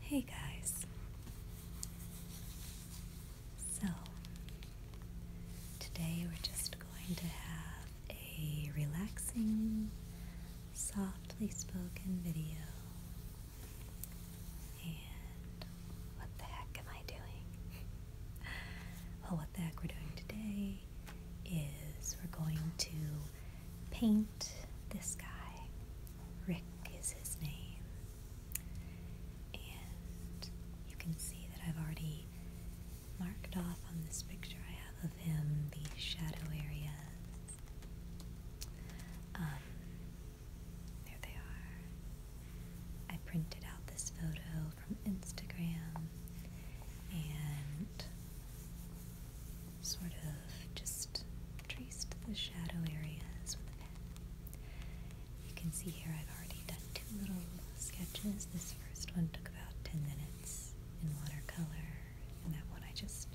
Hey guys. So, today we're just going to have a relaxing, softly spoken video. And what the heck am I doing? well, what the heck we're doing today is we're going to paint this guy. Rick is his name. And you can see that I've already marked off on this picture I have of him the shadow areas. Um, there they are. I printed out this photo from Instagram and sort of just traced the shadow areas with a pen. You can see here I've already done two little sketches. This first one took about 10 minutes in watercolor, and that one I just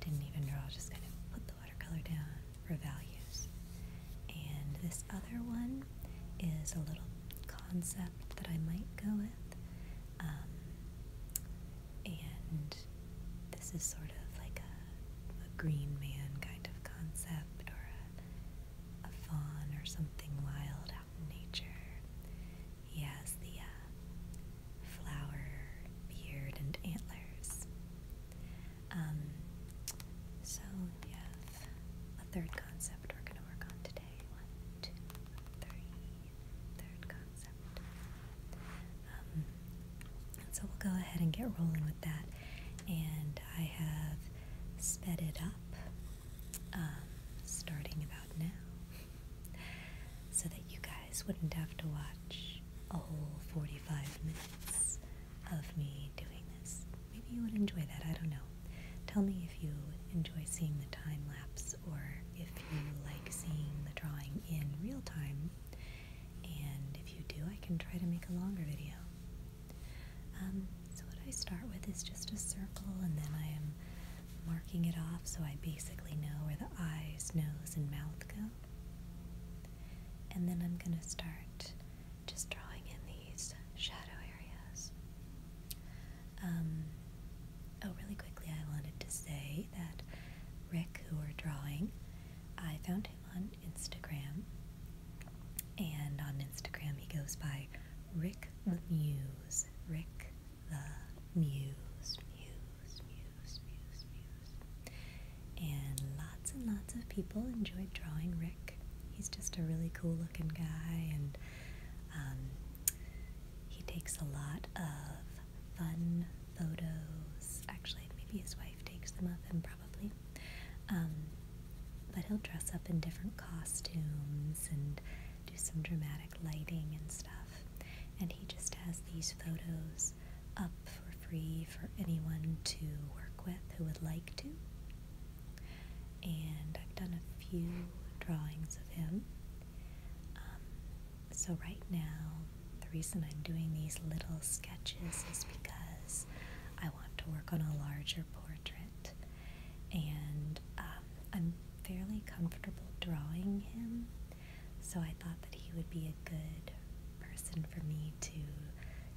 didn't even draw, just kind of put the watercolor down for values. And this other one is a little concept that I might go with. Um, and this is sort of like a, green man kind of concept or a, a fawn or something wild out in nature. He has the uh, flower, beard, and antlers. Um, so we have a third concept we're going to work on today. One, two, three. Third concept. Um, so we'll go ahead and get rolling with that. And I have sped it up um, starting about now so that you guys wouldn't have to watch a whole 45 minutes of me doing this. Maybe you would enjoy that, I don't know. Tell me if you enjoy seeing the time lapse or if you like seeing the drawing in real time and if you do, I can try to make a longer video. Um, so what I start with is just a circle, and then I am marking it off so I basically know where the eyes, nose, and mouth go. And then I'm going to start just drawing in these shadow areas. Um, oh, really quickly, I wanted to say that Rick, who we're drawing, I found him on Instagram. And on Instagram, he goes by Rick the Muse. Rick the Muse. Muse, Muse, Muse, Muse. And lots and lots of people enjoy drawing Rick. He's just a really cool looking guy, and um, he takes a lot of fun photos. Actually, maybe his wife takes them of him, probably. Um, but he'll dress up in different costumes and do some dramatic lighting and stuff. And he just has these photos up for free for anyone to work with who would like to. And I've done a few drawings of him. Um, so, right now, the reason I'm doing these little sketches is because I want to work on a larger portrait. And um, I'm fairly comfortable drawing him, so I thought that he would be a good person for me to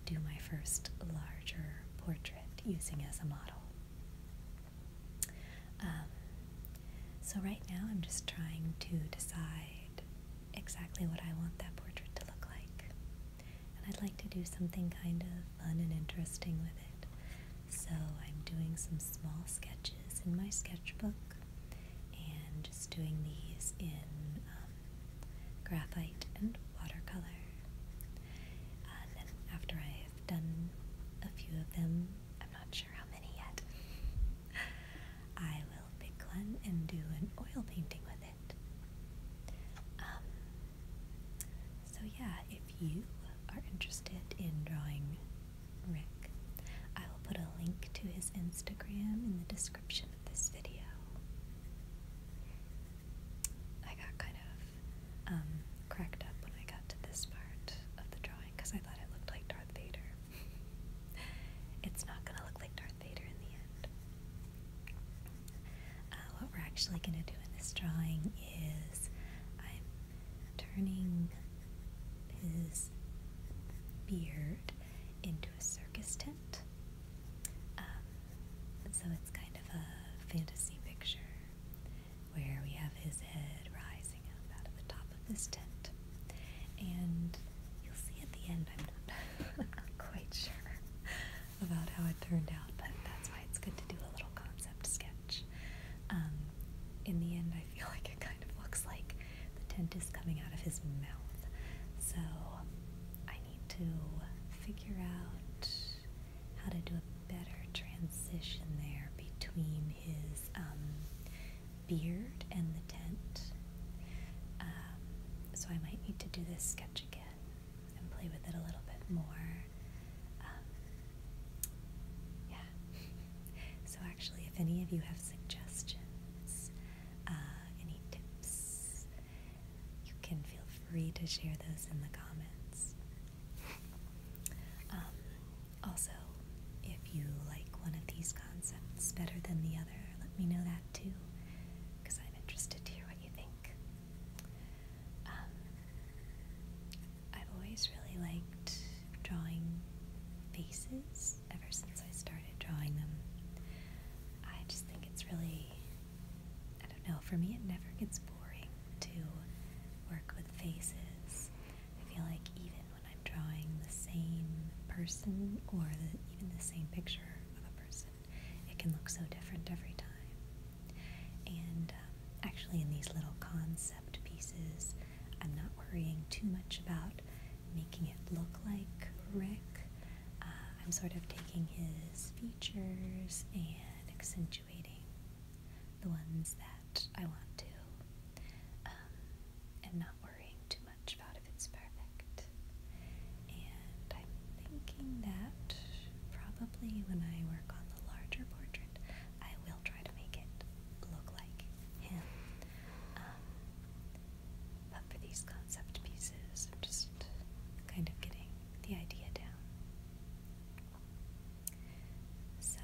do my first larger portrait using as a model. Um, so, right now, I'm just trying to decide exactly what I want that portrait to look like. And I'd like to do something kind of fun and interesting with it. So I'm doing some small sketches in my sketchbook and just doing these in um, graphite and watercolor. then after I've done a few of them, I'm not sure how many yet. I will pick one and do an oil painting with it. Um, so, yeah, if you are interested in drawing Rick, I will put a link to his Instagram in the description of this video. I got kind of um, cracked up when I got to this part of the drawing because I thought it looked like Darth Vader. it's not going to look like Darth Vader in the end. Uh, what we're actually going to do in this drawing is I'm turning his beard into a circus tent. Um, so it's kind of a fantasy picture where we have his head rising up out of the top of this tent. And You'll see at the end. I'm not, quite sure about how it turned out, but that's why it's good to do a little concept sketch. Um, in the end, I feel like it kind of looks like the tent is coming out of his mouth. So I need to figure out how to do a better transition there between his um, beard and the tent. Um, so I might need to do this sketch again and play with it a little bit more. Um, yeah. so actually, if any of you have suggestions, uh, any tips, you can feel free to share those in the comments. Um, also, if you like one of these concepts better than the other, let me know that too, because I'm interested to hear what you think. Um, I've always really liked drawing faces ever since I started drawing them. I just think it's really, I don't know, for me it never gets boring to work with faces. I feel like even when I'm drawing the same person or even the same picture of a person, it can look so different every time. And um, actually, in these little concept pieces, I'm not worrying too much about making it look like Rick. Uh, I'm sort of taking his features and accentuating the ones that I want to, um, and not worrying too much about if it's perfect. And I'm thinking that probably when I work on the larger portrait, I will try to make it look like him. Um, but for these concept pieces, just kind of getting the idea down. So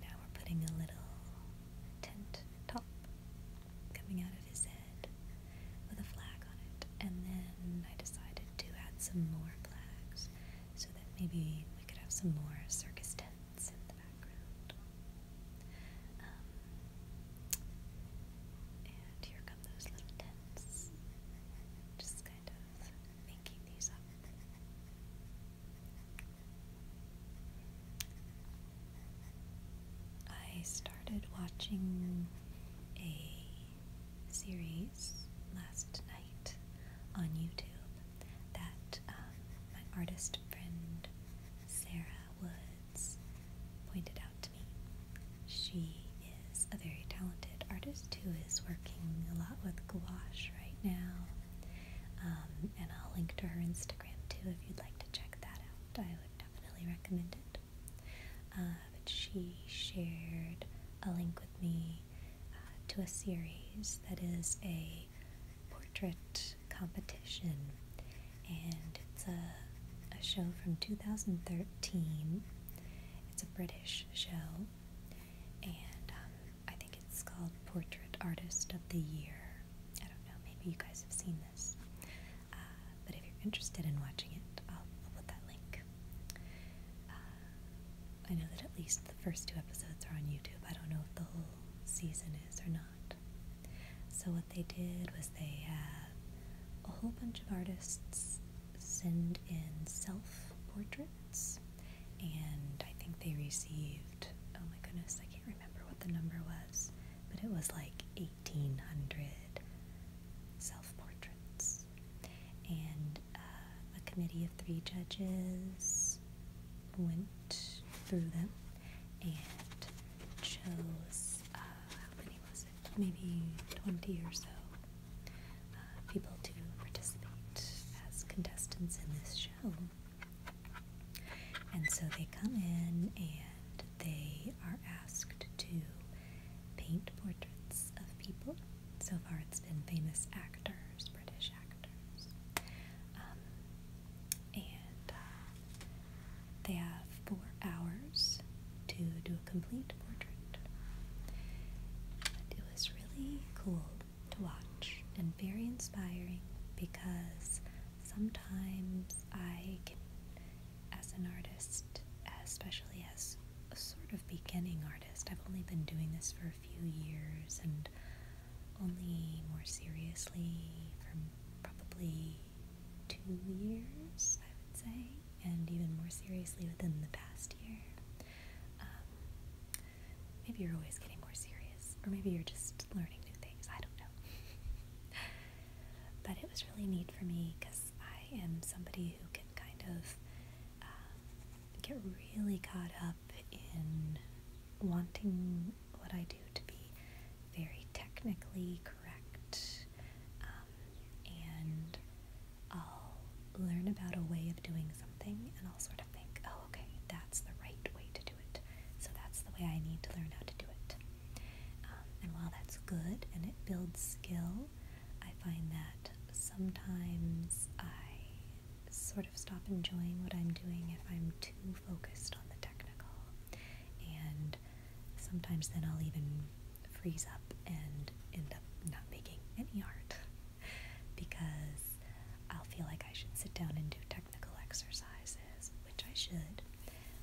now we're putting a little tint top coming out of his head with a flag on it. And then I decided to add some more flags so that maybe we could have some more circus tents in the background. Um, and here come those little tents. Just kind of making these up. I started watching a series last night on YouTube that um, my artist friend Sarah Woods pointed out to me. She is a very talented artist who is working a lot with gouache right now, um, and I'll link to her Instagram too if you'd like to check that out. I would definitely recommend it. Uh, but she shared a link with me uh, to a series that is a portrait competition, and it's a, a show from 2013. It's a British show, and um, I think it's called Portrait Artist of the Year. I don't know, maybe you guys have seen uh, but if you're interested in watching it, I'll, put that link. Uh, I know that at least the first two episodes are on YouTube. I don't know if the whole season is or not. So, what they did was they had a whole bunch of artists send in self portraits, and I think they received oh my goodness, I can't remember what the number was but it was like 1800 self portraits. And uh, a committee of three judges went through them and chose, uh, how many was it? Maybe 20 or so uh, people to participate as contestants in this show. And so they come in and they are asked to paint portraits of people. So far, it's been famous actors, British actors. Um, and uh, they have four hours to do a complete portrait. it was really cool to watch and very inspiring because sometimes I can, as an artist, especially as a sort of beginning artist, I've only been doing this for a few years and only more seriously for probably two years, I would say, and even more seriously within the past year. Um, maybe you're always getting more serious, or maybe you're just learning new things. I don't know know. but it was really neat for me because I am somebody who can kind of um, get really caught up in wanting what I do to be very technically correct. Um, and I'll learn about a way of doing something and I'll sort of think, oh, okay, that's the right way to so that's the way I need to learn how to do it. Um, and while that's good and it builds skill, I find that sometimes I sort of stop enjoying what I'm doing if I'm too focused on the technical. And sometimes then I'll even freeze up and end up not making any art because I'll feel like I should sit down and do technical exercises, which I should,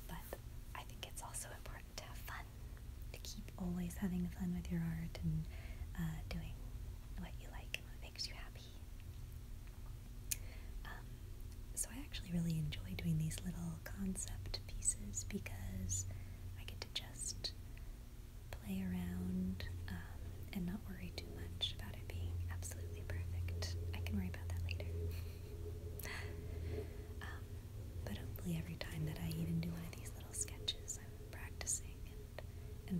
but I think it's also important to have fun, to keep always having fun with your art and uh, doing what you like and what makes you happy. Um, so I actually really enjoy doing these little concept pieces because I get to just play around um, and not worry too much about it being absolutely perfect. I can worry about that later. Um, but hopefully, every time that I even do one of these little sketches, I'm practicing and,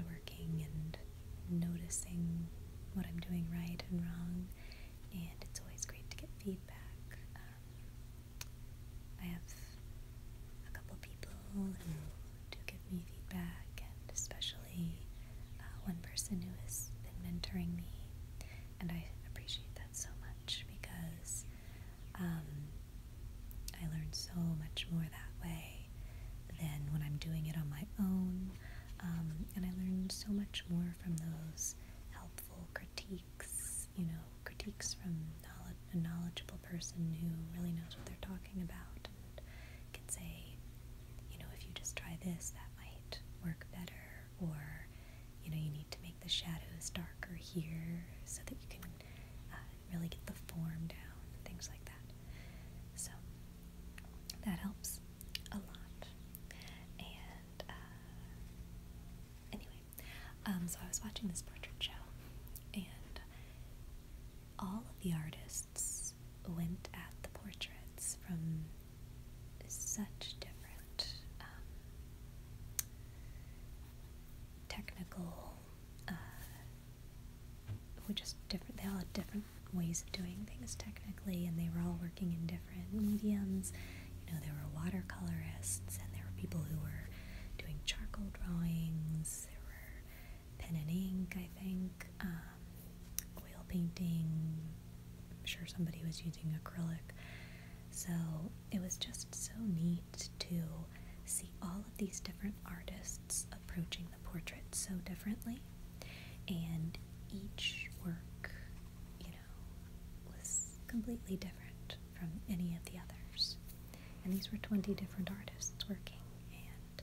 and working and noticing what I'm doing right and wrong. And it's always great to get feedback. Um, I have a couple people who give me feedback, and especially uh, one person who has been mentoring me, and I appreciate that so much because um, I learn so much more that way than when I'm doing it on my own, um, and I learn so much more from those helpful critiques, you know, critiques from a knowledgeable person who really knows what they're talking about and can say, you know, if you just try this, that might work better, or you know you need to make the shadows darker here so that you can uh, really get the form down things like that so that helps a lot and uh, anyway um, so I was watching this portrait show and all of the artists went at the portraits from such different um, technical, uh, we just different, they all had different ways of doing things technically, and they were all working in different mediums. You know, there were watercolorists, and there were people who were doing charcoal drawings, there were pen and ink, I think. Um, oil painting. I'm sure somebody was using acrylic. So it was just so neat to see all of these different artists approaching the portrait so differently. And each work, you know, was completely different from any of the others. And these were 20 different artists working. And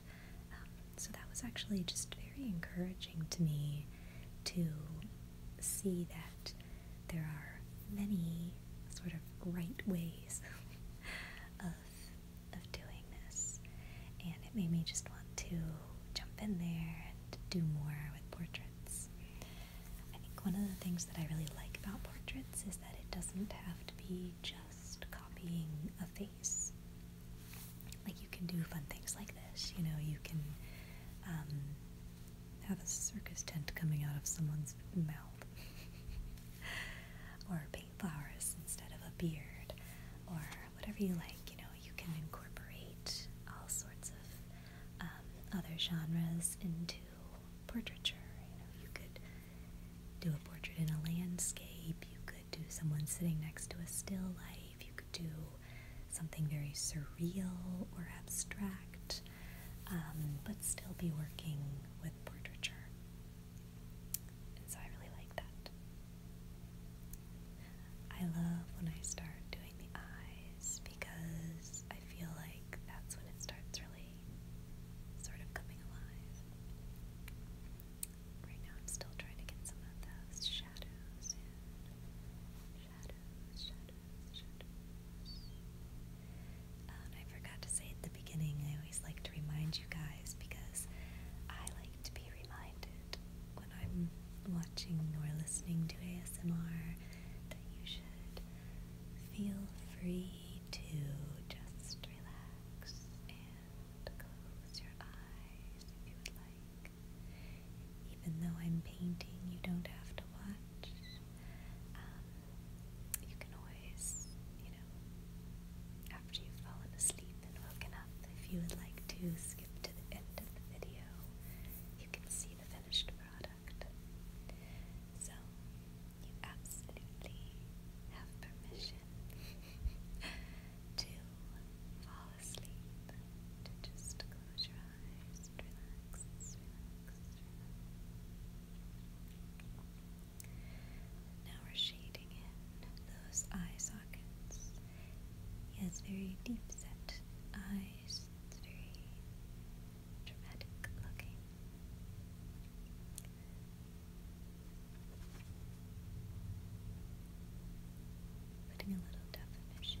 um, so that was actually just very encouraging to me to see that there are many sort of right ways of, of doing this. And it made me just want to jump in there and do more with portraits. I think one of the things that I really like about portraits is that it doesn't have to be just copying a face like you can do fun things like this. You know, you can um, have a circus tent coming out of someone's mouth, or paint flowers instead of a beard, or whatever you like. You know, you can incorporate all sorts of um, other genres into portraiture. You know, you could do a portrait in a landscape. You could do someone sitting next to a still life. You could do something very surreal or abstract, um, but still be working with portraiture. And so I really like that. I love when I start doing the eyes because I feel like that's when it starts really sort of coming alive. Right now I'm still trying to get some of those shadows I forgot to say at the beginning, I always like to remind you guys because I like to be reminded when I'm watching or listening to ASMR that you should feel free to just relax and close your eyes if you would like. Even though I'm painting, you don't have to watch. Um, you can always, you know, after you've fallen asleep and woken up, if you would like to skip to the end of the video, you can see the finished product. So, you absolutely have permission to to just close your eyes relax, relax. Now we're shading in those eye sockets. He has very deep set eyes, it's very dramatic looking. Putting a little definition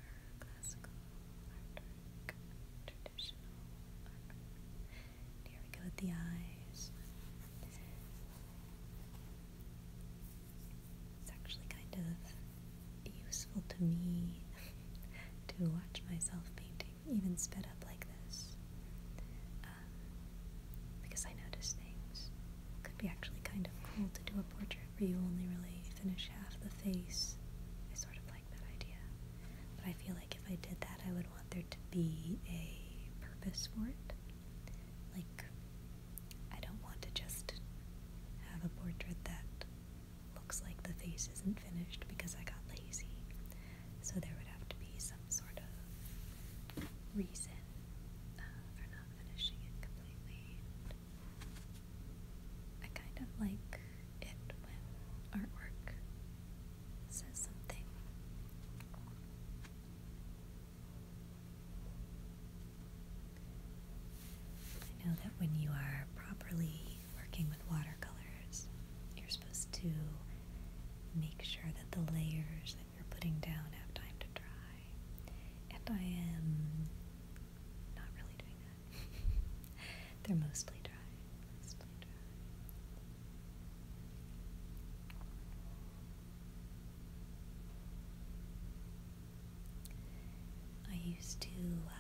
Here we go with the eyes. It's actually kind of useful to me to watch myself painting, even sped up like this, um, because I notice things could be actually kind of cool to do a portrait where you only really finish half the face. I sort of like that idea. But I feel like if I did that, I would want there to be a purpose for it. Like, I don't want to just have a portrait that looks like the face isn't finished because I got lazy. So there would have to be some sort of reason uh, for not finishing it completely. I kind of like it when artwork says something. I know that when you are properly working with watercolors, you're supposed to make sure that the layers that you're putting down have time to dry. And I am not really doing that. They're mostly dry. Mostly dry. I used to uh,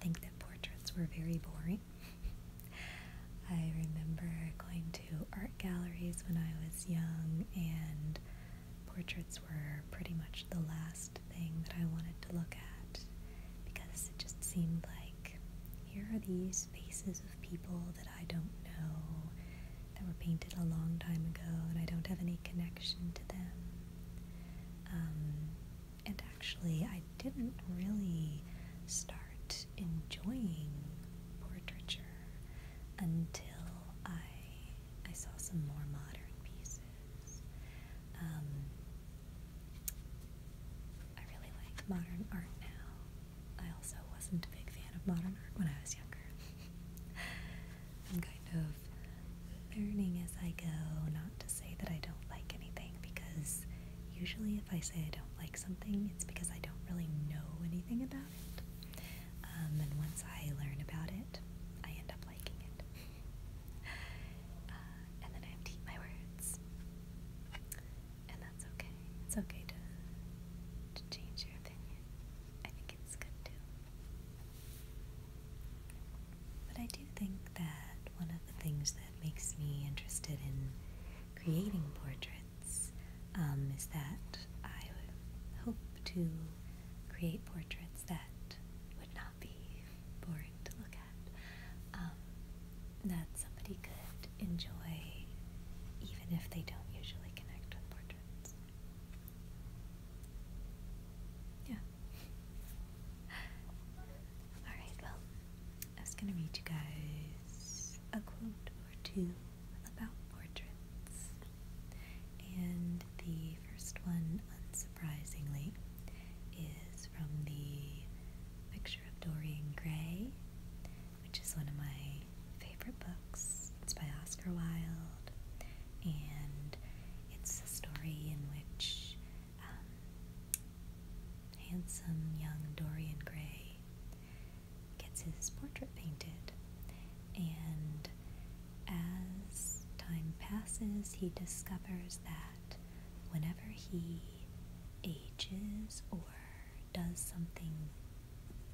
think that portraits were very boring. I remember going to art galleries when I was young and portraits were pretty much the last thing that I wanted to look at because it just seemed like here are these faces of people that I don't know that were painted a long time ago and I don't have any connection to them. Um, and actually, I didn't really start enjoying portraiture until I I saw some more modern pieces. Um, I really like modern art now. I also wasn't a big fan of modern art when I was younger. I'm kind of learning as I go, not to say that I don't like anything, because usually if I say I don't like something, it's because I don't really know anything about it. Um, and once I learn about it, I end up liking it. Uh, and then I have my words. And that's okay. It's okay to to change your opinion. I think it's good too. But I do think that one of the things that makes me interested in creating portraits um, is that I hope to create portraits that would not be boring to look at, um, that somebody could enjoy even if they don't usually connect with portraits. Yeah. Alright, well, I was going to read you guys a quote or two about portraits. And the first one, unsurprisingly, is from the Picture of Dorian Gray, which is one of my favorite books. It's by Oscar Wilde, and it's a story in which um, handsome young Dorian Gray gets his portrait painted. And as time passes, he discovers that whenever he ages or does something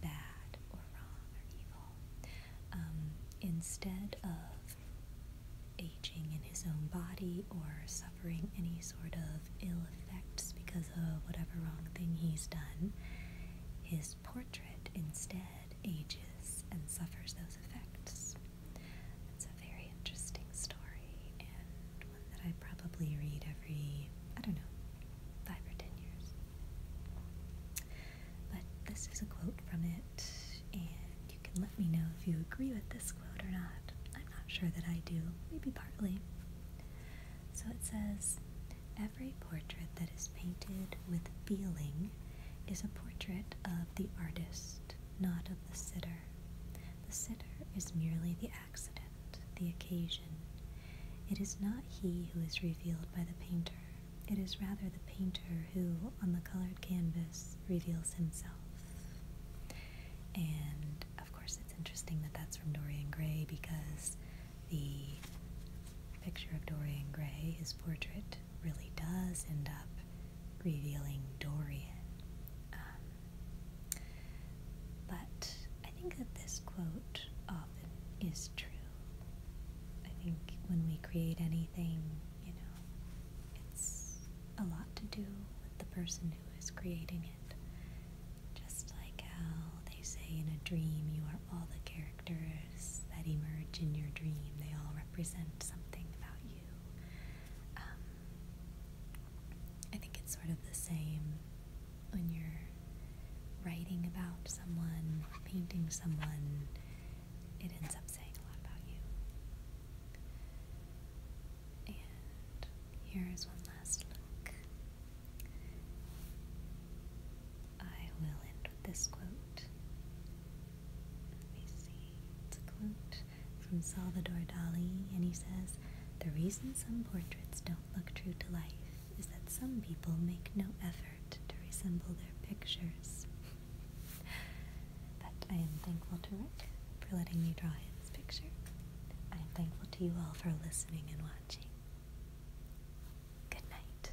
bad or wrong or evil, um, instead of aging in his own body or suffering any sort of ill effects because of whatever wrong thing he's done, his portrait instead ages and suffers those effects. It's a very interesting story and one that I probably read every, I don't know, five or ten years. But this is a quote from it, and you can let me know if you agree with this quote or not. I'm not sure that I do, maybe partly. So it says, Every portrait that is painted with feeling is a portrait of the artist, not of the sitter. The sitter is merely the accident, the occasion. It is not he who is revealed by the painter. It is rather the painter who, on the colored canvas, reveals himself. And of course, it's interesting that that's from Dorian Gray because the picture of Dorian Gray, is portrait, really does end up revealing Dorian. Um, but I think that this quote often is true. I think when we create anything, you know, it's a lot to do with the person who is creating it. Just like how they say in a dream, you are all the characters characters that emerge in your dream, they all represent something about you. Um, I think it's sort of the same when you're writing about someone, painting someone, it ends up saying a lot about you. And here is one last look. I will end with this quote let me see. It's a quote from Salvador Dali, and he says, The reason some portraits don't look true to life is that some people make no effort to resemble their pictures. That I am thankful to Rick for letting me draw his picture. I am thankful to you all for listening and watching. Good night.